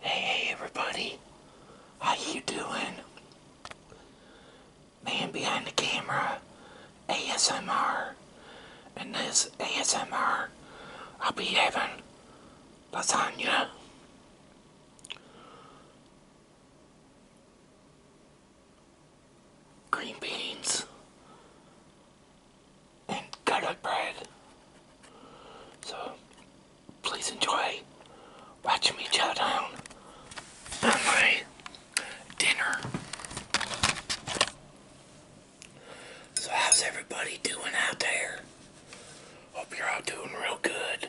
Hey, everybody. How you doing? Man behind the camera, ASMR. And this ASMR, I'll be having lasagna. Green beans, and garlic bread. So please enjoy watching me chow down on my dinner. So how's everybody doing out there? Hope you're all doing real good.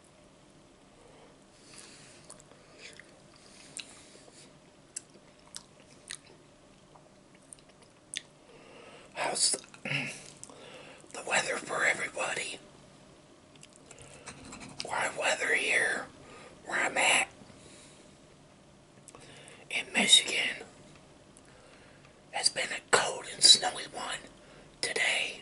How's the, weather for everybody? Why weather here where I'm at in Michigan has been a cold and snowy one today.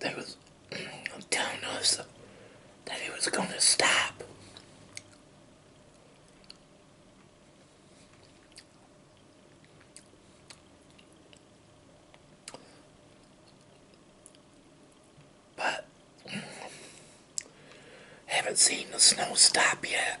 They was telling us that he was going to stop. But haven't seen the snow stop yet.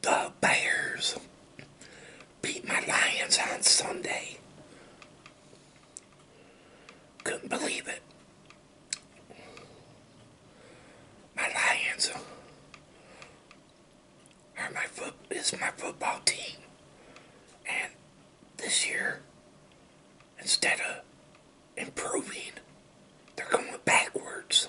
The Bears beat my Lions on Sunday. Couldn't believe it my Lions are my foot is my football team. And this year, instead of improving, they're going backwards.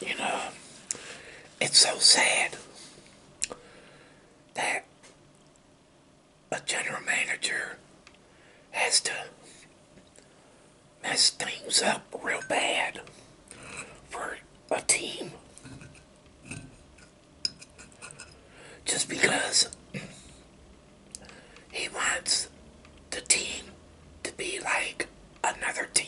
You know, it's so sad that a general manager has to mess things up real bad for a team just because he wants the team to be like another team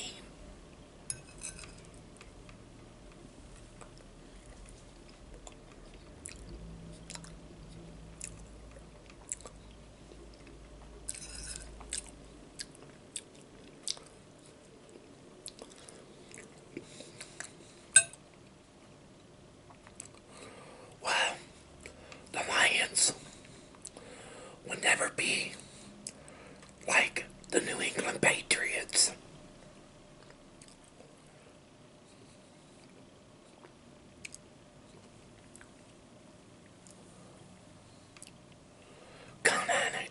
Wow, the Lions will never be like the New England Patriots. Count on it.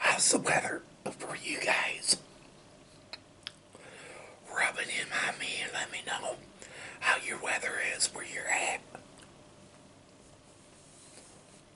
How's the weather for you guys? Rub in my me let me know how your weather is where you're at.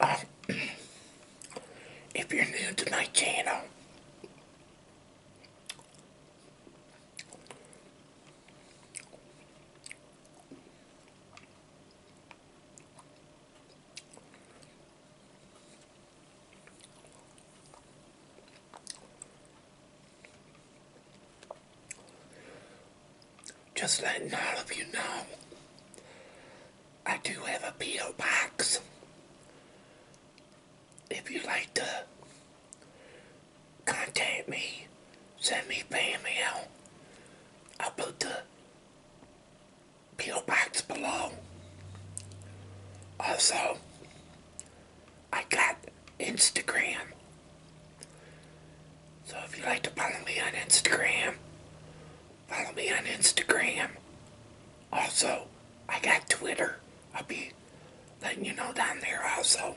if you're new to my channel, just letting all of you know, I do have a P.O. box. If you'd like to contact me, send me fan mail. I'll put the peel below. Also, I got Instagram. So if you like to follow me on Instagram, follow me on Instagram. Also, I got Twitter. I'll be letting you know down there also.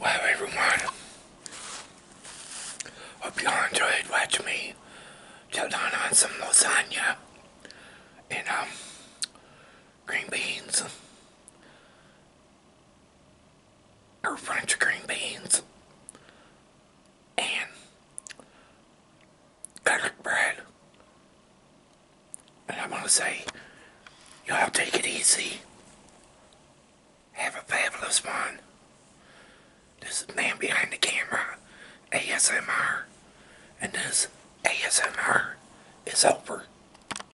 Well, everyone, hope you all enjoyed watching me chow down on some lasagna and um, green beans or French green beans and garlic bread. And I'm going to say, y'all take it easy. Have a fabulous one. This is Man Behind the Camera, ASMR, and this ASMR is over.